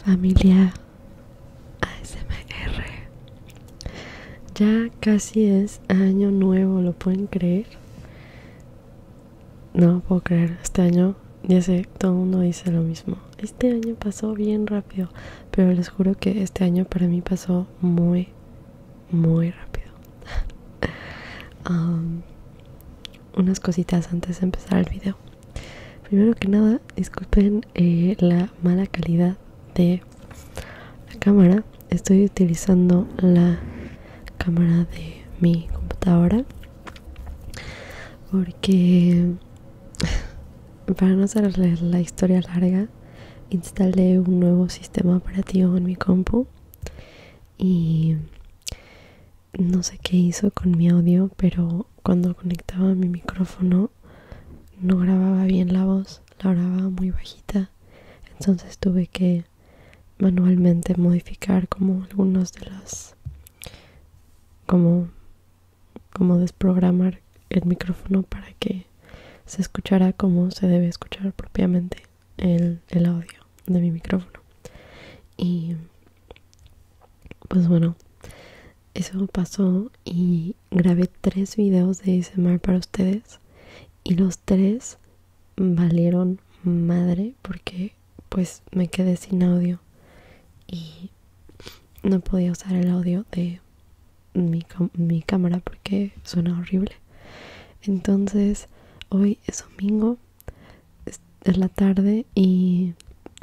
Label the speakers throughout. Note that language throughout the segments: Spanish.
Speaker 1: Familia ASMR. Ya casi es año nuevo, ¿lo pueden creer? No puedo creer, este año, ya sé, todo el mundo dice lo mismo. Este año pasó bien rápido, pero les juro que este año para mí pasó muy, muy rápido. Um, unas cositas antes de empezar el video. Primero que nada, disculpen eh, la mala calidad de la cámara. Estoy utilizando la cámara de mi computadora porque para no hacer la historia larga instalé un nuevo sistema operativo en mi compu y no sé qué hizo con mi audio, pero cuando conectaba mi micrófono no grababa bien la voz, la grababa muy bajita. Entonces tuve que manualmente modificar como algunos de los como como desprogramar el micrófono para que se escuchara como se debe escuchar propiamente el audio de mi micrófono. Y pues bueno, eso pasó y grabé tres videos de ASMR para ustedes y los tres valieron madre porque pues me quedé sin audio y no podía usar el audio de mi, mi cámara porque suena horrible. Entonces, hoy es domingo es la tarde y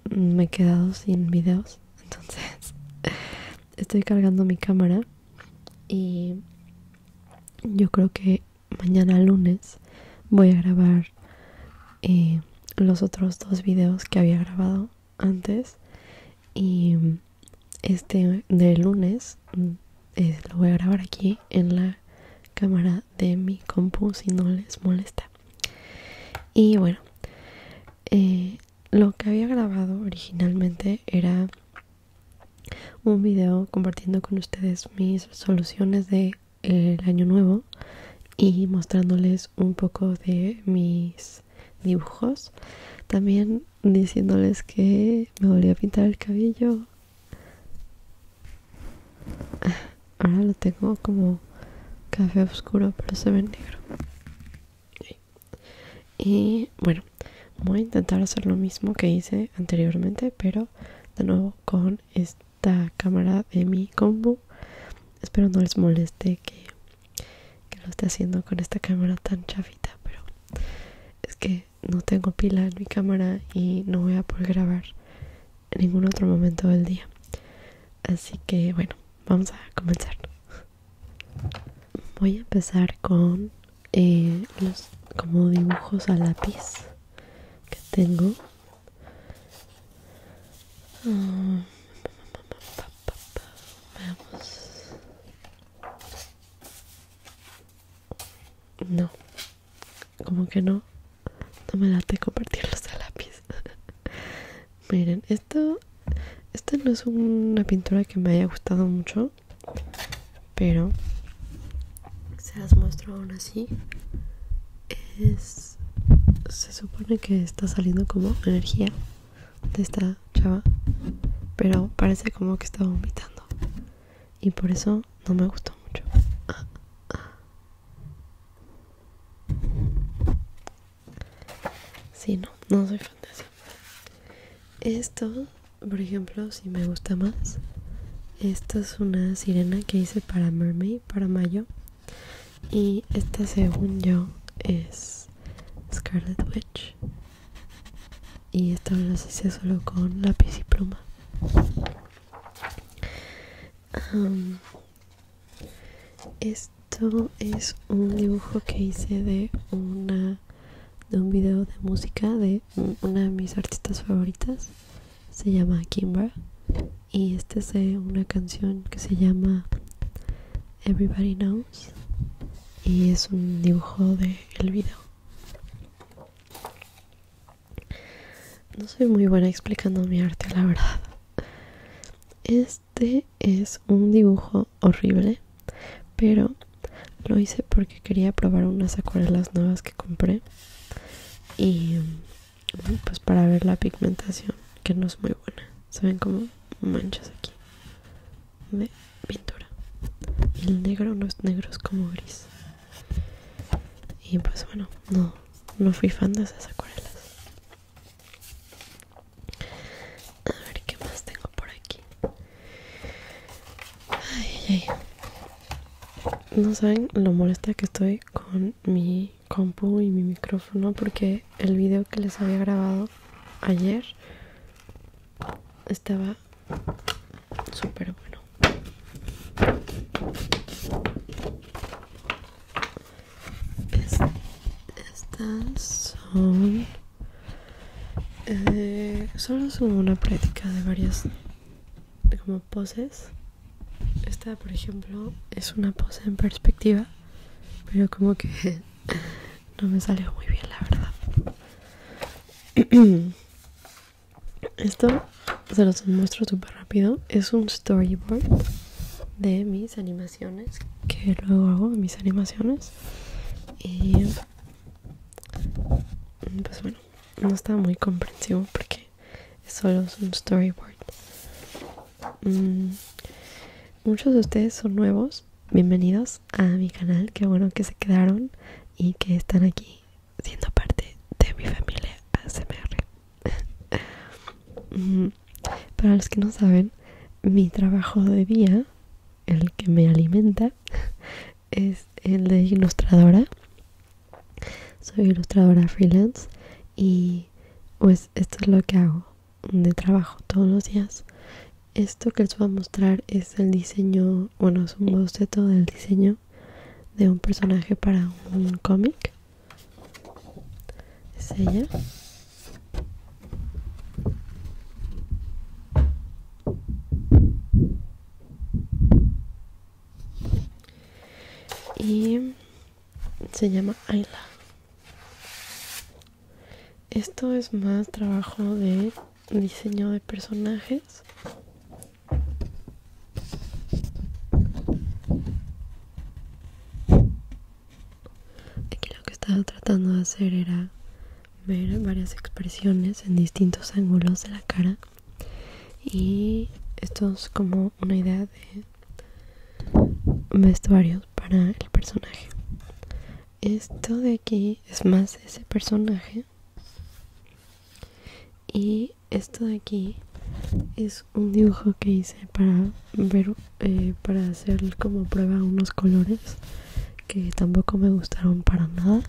Speaker 1: me he quedado sin videos entonces estoy cargando mi cámara y yo creo que mañana lunes voy a grabar eh, los otros dos videos que había grabado antes y este de lunes mm, eh, lo voy a grabar aquí en la cámara de mi compu si no les molesta y bueno eh, lo que había grabado originalmente era un video compartiendo con ustedes mis soluciones de el año nuevo y mostrándoles un poco de mis dibujos también diciéndoles que me volví a pintar el cabello ah, Ahora lo tengo como café oscuro, pero se ve negro. Y bueno, voy a intentar hacer lo mismo que hice anteriormente, pero de nuevo con esta cámara de mi combo. Espero no les moleste que, que lo esté haciendo con esta cámara tan chafita, pero es que no tengo pila en mi cámara y no voy a poder grabar ningún otro momento del día. Así que bueno, vamos a comenzar. Voy a empezar con los como dibujos a lápiz que tengo. Vamos. No, como que no, no me late convertirlos a lápiz. Miren, esto, esta no es una pintura que me haya gustado mucho, pero se las muestro aún así. Es, se supone que está saliendo como energía de esta chava, pero parece como que está vomitando y por eso no me gustó mucho. Sí, no, no soy fantasía Esto, por ejemplo, si me gusta más. Esta es una sirena que hice para Mermaid, para Mayo. Y esta, según yo, es Scarlet Witch. Y esta lo hice solo con lápiz y pluma esto es un dibujo que hice de una de un video de música de una de mis artistas favoritas. Se llama Kimbra. Y este es de una canción que se llama Everybody Knows. Y es un dibujo del video. No soy muy buena explicando mi arte, la verdad. Este es un dibujo horrible, pero lo hice porque quería probar unas acuarelas nuevas que compré. Y mm, pues para ver la pigmentación, que no es muy buena. Se ven como manchas aquí de pintura. El negro no es negro, es como gris. Y pues bueno, no, no fui fan de esas acuarelas. A ver qué más tengo por aquí. No saben lo molesta que estoy con mi compu y mi micrófono porque el video que les había grabado ayer estaba súper bueno estas son eh, solo son una práctica de varias de como poses esta por ejemplo es una pose en perspectiva pero como que no me salió muy bien la verdad Esto se los muestro súper rápido. Es un storyboard de mis animaciones. Que luego hago mis animaciones. Y mm, pues bueno, no está muy comprensivo porque solo es un storyboard. Mm, muchos de ustedes son nuevos. Bienvenidos a mi canal. Qué bueno que se quedaron y que están aquí siendo parte de mi familia ASMR. Para los que no saben, mi trabajo de día, el que me alimenta, es el de ilustradora. Soy ilustradora freelance y pues esto es lo que hago de trabajo todos los días. Esto que les voy a mostrar es el diseño, bueno, es un boceto del diseño de un personaje para un cómic. Es ella. Y se llama Ayla. Esto es más trabajo de diseño de personajes Aquí lo que estaba tratando de hacer era ver varias expresiones en distintos ángulos de la cara y esto es como una idea de vestuarios para el personaje. Esto de aquí es más ese personaje y esto de aquí es un dibujo que hice para ver, eh, para hacer como prueba unos colores que tampoco me gustaron para nada.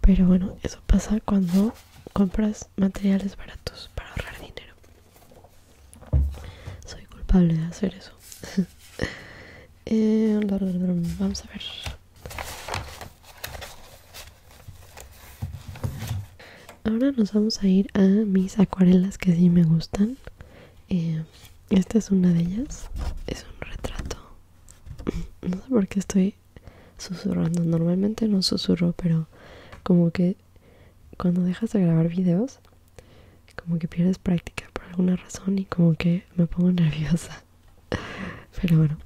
Speaker 1: Pero bueno, eso pasa cuando compras materiales baratos para ahorrar dinero. Soy culpable de hacer eso. Eh, vamos a ver. Ahora nos vamos a ir a mis acuarelas que sí me gustan. Eh, esta es una de ellas. Es un retrato. Mm, no sé por qué estoy susurrando. Normalmente no susurro, pero como que cuando dejas de grabar videos, como que pierdes práctica por alguna razón y como que me pongo nerviosa. Pero bueno.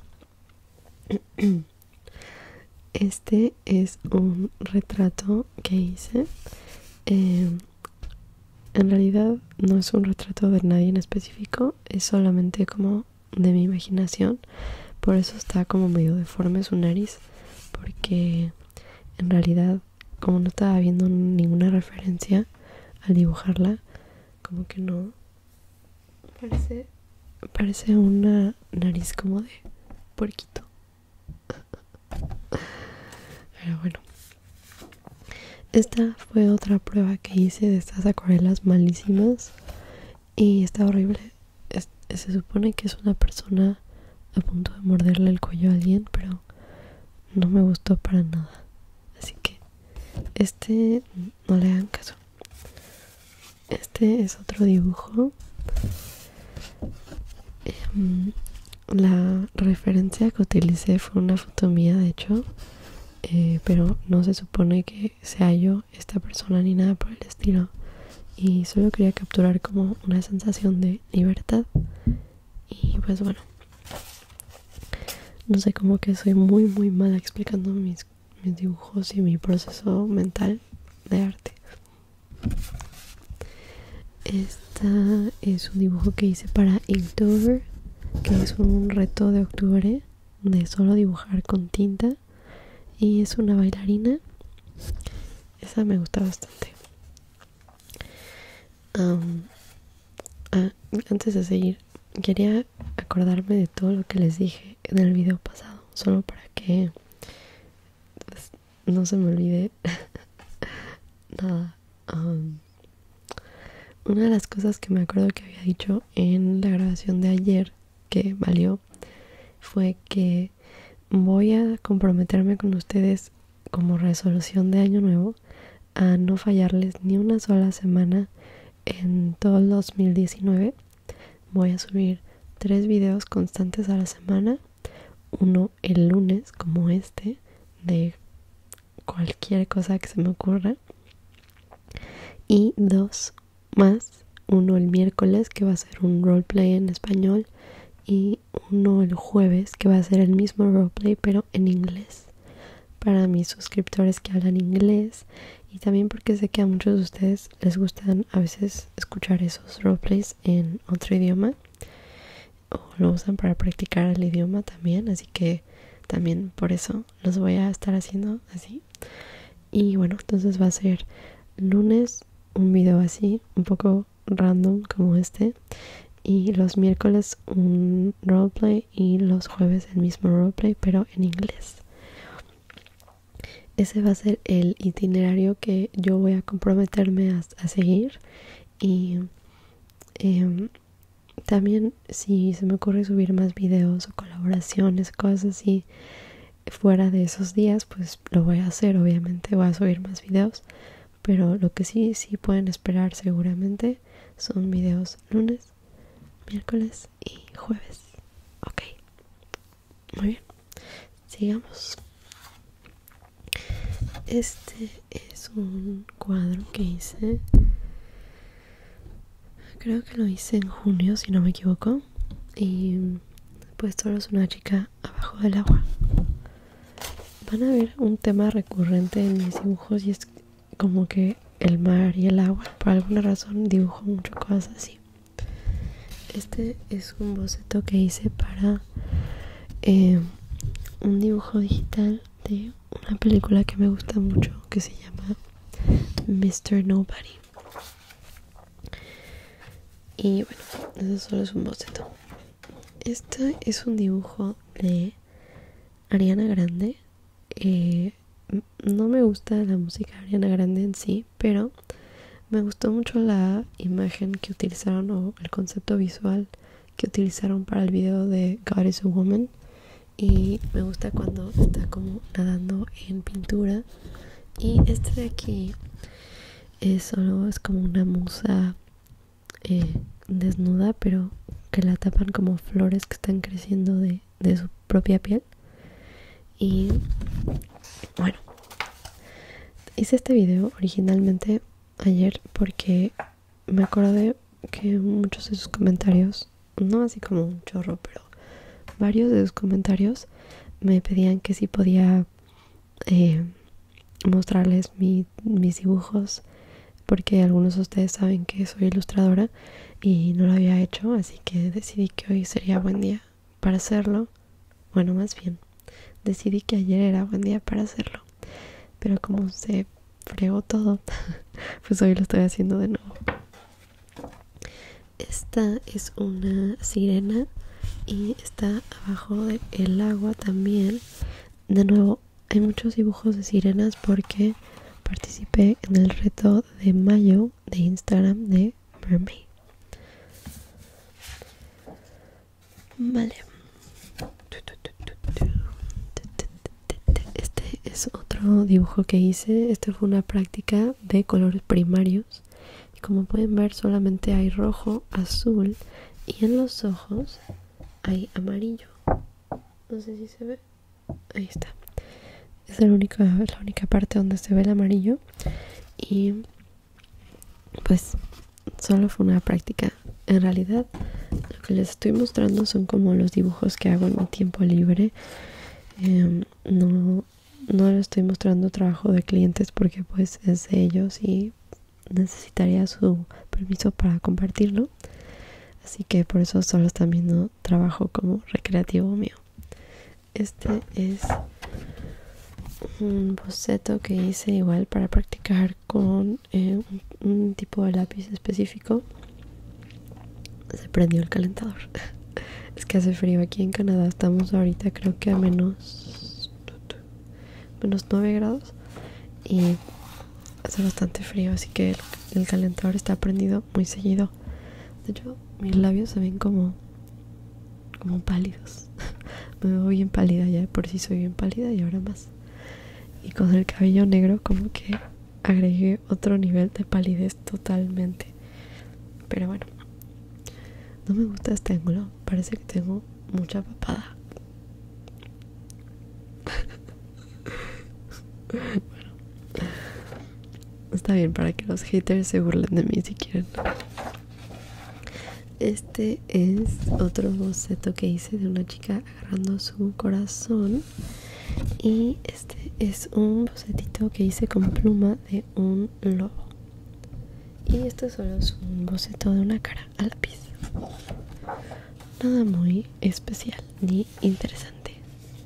Speaker 1: Este es un retrato que hice. Eh, en realidad no es un retrato de nadie en específico, es solamente como de mi imaginación. Por eso está como medio deforme su nariz, porque en realidad como no estaba viendo ninguna referencia al dibujarla, como que no, Parece, parece una nariz como de puerquito. Pero bueno. Esta fue otra prueba que hice de estas acuarelas malísimas. Y está horrible. se supone que es una persona a punto de morderle el cuello a alguien, pero no me gustó para nada. Así que este no le hagan caso. Este es otro dibujo. Em, la referencia que utilicé fue una foto mía, de hecho, eh, pero no se supone que sea yo esta persona ni nada por el estilo. Y solo quería capturar como una sensación de libertad. Y pues bueno, no sé, cómo que soy muy, muy mala explicando mis mis dibujos y mi proceso mental de arte. Esta es un dibujo que hice para Inktober, que es un reto de octubre de solo dibujar con tinta. Y es una bailarina. Esa me gusta bastante. antes de seguir, quería acordarme de todo lo que les dije en el video pasado, solo para que pues, no se me olvide nada. una de las cosas que me acuerdo que había dicho en la grabación de ayer que valió fue que voy a comprometerme con ustedes como resolución de año nuevo a no fallarles ni una sola semana en todo el 2019 voy a subir tres videos constantes a la semana uno el lunes como este de cualquier cosa que se me ocurra y dos más uno el miércoles que va a ser un roleplay en español y uno el jueves que va a ser el mismo roleplay pero en inglés para mis suscriptores que hablan inglés y también porque sé que a muchos de ustedes les gustan a veces escuchar esos roleplays en otro idioma o lo usan para practicar el idioma también, así que también por eso los voy a estar haciendo así. Y bueno, entonces va a ser lunes un video así, un poco random como este, y los miércoles un roleplay y los jueves el mismo roleplay, pero en inglés. Ese va a ser el itinerario que yo voy a comprometerme a, seguir. Y em, también si se me ocurre subir más videos o colaboraciones, cosas así fuera de esos días, pues lo voy a hacer, obviamente voy a subir más videos. Pero lo que sí, sí pueden esperar seguramente son videos lunes miércoles y jueves. Ok, muy bien. Sigamos. Este es un cuadro que hice. Creo que lo hice en junio, si no me equivoco. Y pues solo es una chica abajo del agua. Van a ver un tema recurrente en mis dibujos y es como que el mar y el agua. Por alguna razón dibujo muchas cosas así. Este es un boceto que hice para eh, un dibujo digital de una película que me gusta mucho que se llama Mr. Nobody. Y bueno, eso solo es un boceto. Este es un dibujo de Ariana Grande eh, no me gusta la música Ariana Grande en sí, pero me gustó mucho la imagen que utilizaron o el concepto visual que utilizaron para el video de God is a Woman. Y me gusta cuando está como nadando en pintura. Y este de aquí es solo es como una musa eh, desnuda, pero que la tapan como flores que están creciendo de de, su propia piel. Y bueno, hice este video originalmente ayer porque me acordé que muchos de sus comentarios, no así como un chorro, pero varios de sus comentarios me pedían que si podía eh, mostrarles mis dibujos porque algunos de ustedes saben que soy ilustradora y no lo había hecho, así que decidí que hoy sería buen día para hacerlo. Bueno, más bien, decidí que ayer era buen día para hacerlo, pero como se fregó todo, pues hoy lo estoy haciendo de nuevo. Esta es una sirena y está abajo del agua también. De nuevo, hay muchos dibujos de sirenas porque participé en el reto de mayo de Instagram de Mermaid. Vale. Este es otro dibujo que hice. esto fue una práctica de colores primarios. como pueden ver, solamente hay rojo, azul y en los ojos hay amarillo. No sé si se ve ahí está es la única parte donde se ve el amarillo y pues solo fue una práctica en realidad lo que les estoy mostrando son como los dibujos que hago en mi tiempo libre em, no no les estoy mostrando trabajo de clientes porque pues es de ellos y necesitaría su permiso para compartirlo así que por eso solo están viendo trabajo como recreativo mío. Este ah. es un boceto que hice igual para practicar con eh, un, tipo de lápiz específico. Se prendió el calentador. es que hace frío aquí en Canadá. Estamos ahorita creo que a menos, menos 9 grados. Y hace bastante frío, así que el calentador está prendido muy seguido. De hecho, mis labios se ven como, como pálidos. Me veo bien pálida, ya por si soy bien pálida y ahora más. Y con el cabello negro como que agregué otro nivel de palidez totalmente. Pero bueno, no me gusta este ángulo. Parece que tengo mucha papada. bueno, está bien para que los haters se burlen de mí si quieren. Este es otro boceto que hice de una chica agarrando su corazón. Y este es un bocetito que hice con pluma de un lobo. Y este solo es un boceto de una cara a lápiz. Nada muy especial ni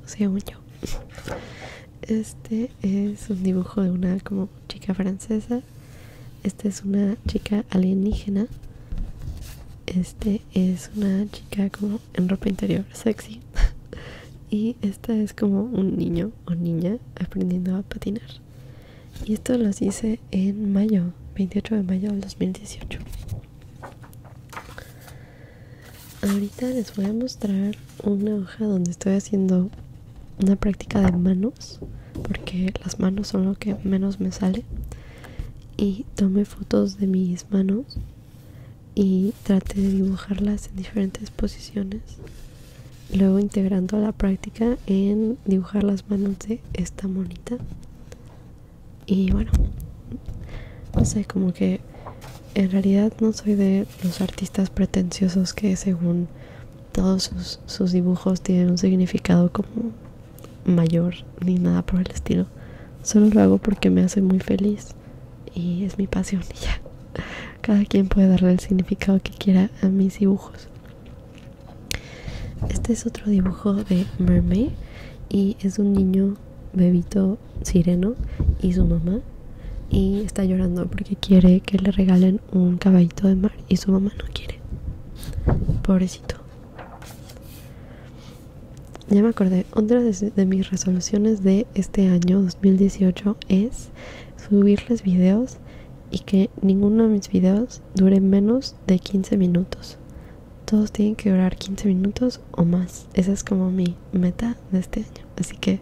Speaker 1: o sea un yo. Este es un dibujo de una como chica francesa. Esta es una chica alienígena. Este es una chica como en ropa interior sexy. y esta es como un niño o niña aprendiendo a patinar. Y esto los hice en mayo, 28 de mayo del 2018. Ahorita les voy a mostrar una hoja donde estoy haciendo una práctica de manos, porque las manos son lo que menos me sale. Y tomé fotos de mis manos y traté de dibujarlas en diferentes posiciones. Luego integrando la práctica en dibujar las manos de esta monita. Y bueno, no sé, como que en realidad no soy de los artistas pretenciosos que según todos sus, sus dibujos tienen un significado como mayor ni nada por el estilo. Solo lo hago porque me hace muy feliz y es mi pasión y ya. Cada quien puede darle el significado que quiera a mis dibujos. Este es otro dibujo de Mermaid y es un niño bebito sireno y su mamá y está llorando porque quiere que le regalen un caballito de mar y su mamá no quiere. Pobrecito. Ya me acordé, otra de, mis resoluciones de este año 2018 es subirles videos y que ninguno de mis videos dure menos de 15 minutos todos tienen que durar 15 minutos o más. Esa es como mi meta de este año. Así que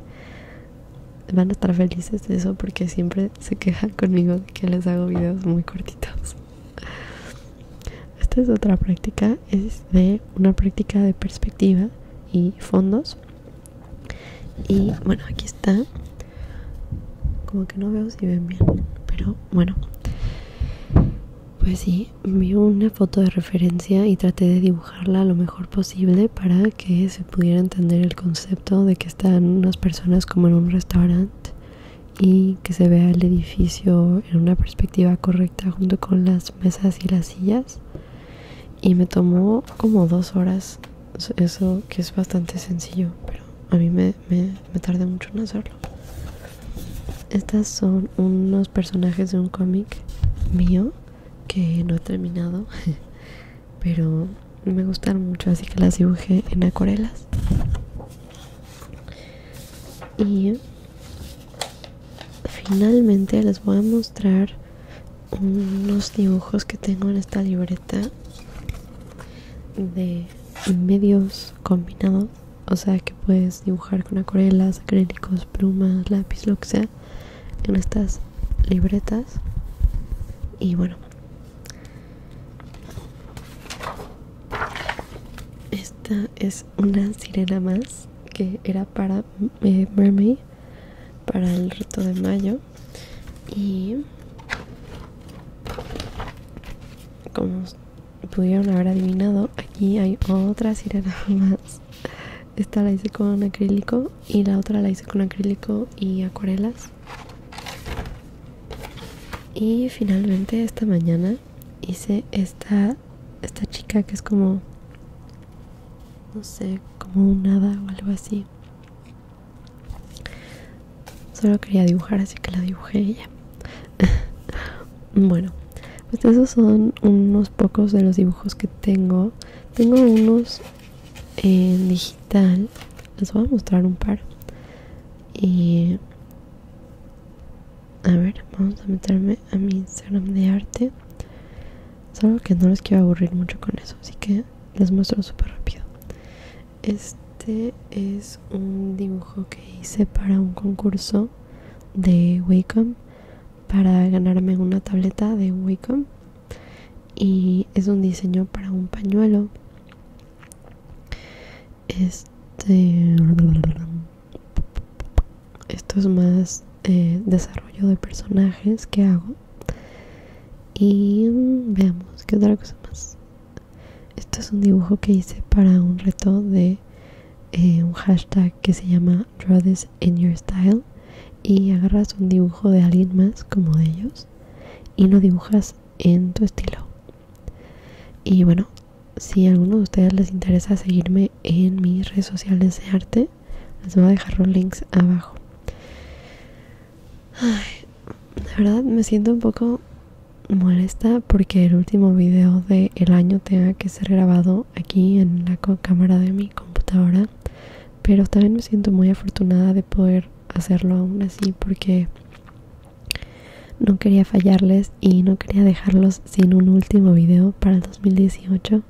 Speaker 1: van a estar felices de eso porque siempre se quejan conmigo que les hago videos muy cortitos. Esta es otra práctica, es de una práctica de perspectiva y fondos. Y bueno, aquí está. Como que no veo si ven bien, pero bueno. Pues sí, vi una foto de referencia y traté de dibujarla lo mejor posible para que se pudiera entender el concepto de que están unas personas como en un restaurante y que se vea el edificio en una perspectiva correcta junto con las mesas y las sillas. Y me tomó como dos horas, eso que es bastante sencillo, pero a mí me, me me tardé mucho en hacerlo. Estas son unos personajes de un cómic mío que no he terminado, pero me gustan mucho, así que las dibujé en acuarelas. Y finalmente les voy a mostrar unos dibujos que tengo en esta libreta de medios combinados o sea que puedes dibujar con acuarelas, acrílicos, plumas, lápiz, lo que sea en estas libretas y bueno esta es una sirena más que era para eh, mermaid para el reto de mayo y como pudieron haber adivinado, aquí hay otra sirena más. Esta la hice con acrílico y la otra la hice con acrílico y acuarelas. Y finalmente esta mañana hice esta, esta chica que es como, no sé, como un hada o algo así. Solo quería dibujar, así que la dibujé ella. bueno, pues esos son unos pocos de los dibujos que tengo. Tengo unos en digital. Les voy a mostrar un par. Y a ver, vamos a meterme a mi Instagram de arte. Solo que no les quiero aburrir mucho con eso, así que les muestro súper rápido. Este este es un dibujo que hice para un concurso de Wacom para ganarme una tableta de Wacom y es un diseño para un pañuelo. Este esto es más eh, desarrollo de personajes que hago. Y mm, veamos qué otra cosa más. Esto es un dibujo que hice para un reto de eh, un hashtag que se llama Draw This in Your Style y agarras un dibujo de alguien más como de ellos y lo dibujas en tu estilo. Y bueno, si a alguno de ustedes les interesa seguirme en mis redes sociales de arte, les voy a dejar los links abajo. Ay, verdad me siento un poco molesta porque el último video del año tenga que ser grabado aquí en la cámara de mi computadora pero también me siento muy afortunada de poder hacerlo aún así porque no quería fallarles y no quería dejarlos sin un último video para el 2018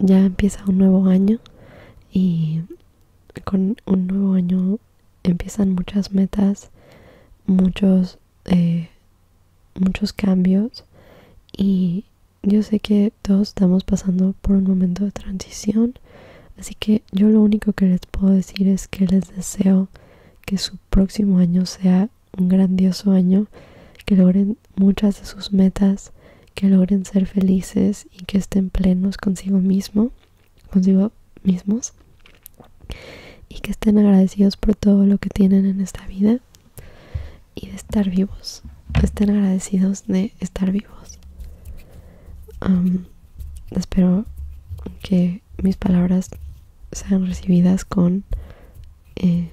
Speaker 1: ya empieza un nuevo año y con un nuevo año empiezan muchas metas, muchos, eh, muchos cambios y yo sé que todos estamos pasando por un momento de transición, así que yo lo único que les puedo decir es que les deseo que su próximo año sea un grandioso año, que logren muchas de sus metas, que logren ser felices y que estén plenos consigo mismo consigo mismos y que estén agradecidos por todo lo que tienen en esta vida y de estar vivos. Estén agradecidos de estar vivos. espero que mis palabras sean recibidas con eh,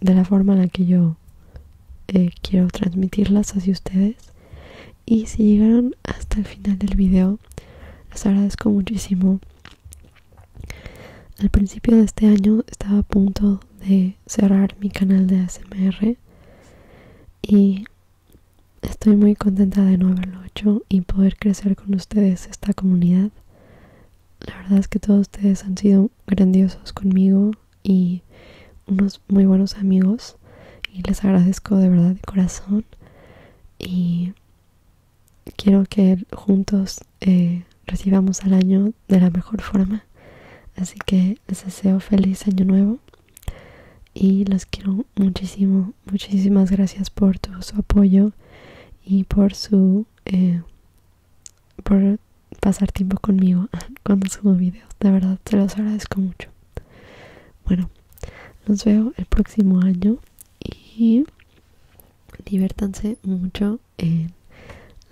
Speaker 1: de la forma en la que yo eh, quiero transmitirlas hacia ustedes y si llegaron hasta el final del video, les agradezco muchísimo. Al principio de este año estaba a punto de cerrar mi canal de ASMR y estoy muy contenta de no haberlo hecho y poder crecer con ustedes esta comunidad. La verdad es que todos ustedes han sido grandiosos conmigo y Unos muy buenos amigos y les agradezco de verdad de corazón y quiero que juntos eh, recibamos al año de la mejor forma. Así que les deseo feliz año nuevo y los quiero muchísimo. Muchísimas gracias por todo su apoyo y por su eh, por pasar tiempo conmigo cuando subo videos. De verdad, te los agradezco mucho. Bueno, nos veo el próximo año y diviértanse mucho en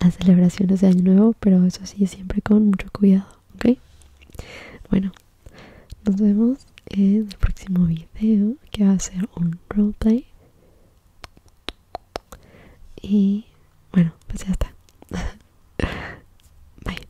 Speaker 1: las celebraciones de Año Nuevo, pero eso sí, siempre con mucho cuidado, ¿ok? Bueno, nos vemos en el próximo video que va a ser un roleplay. Y bueno, pues ya está. Bye.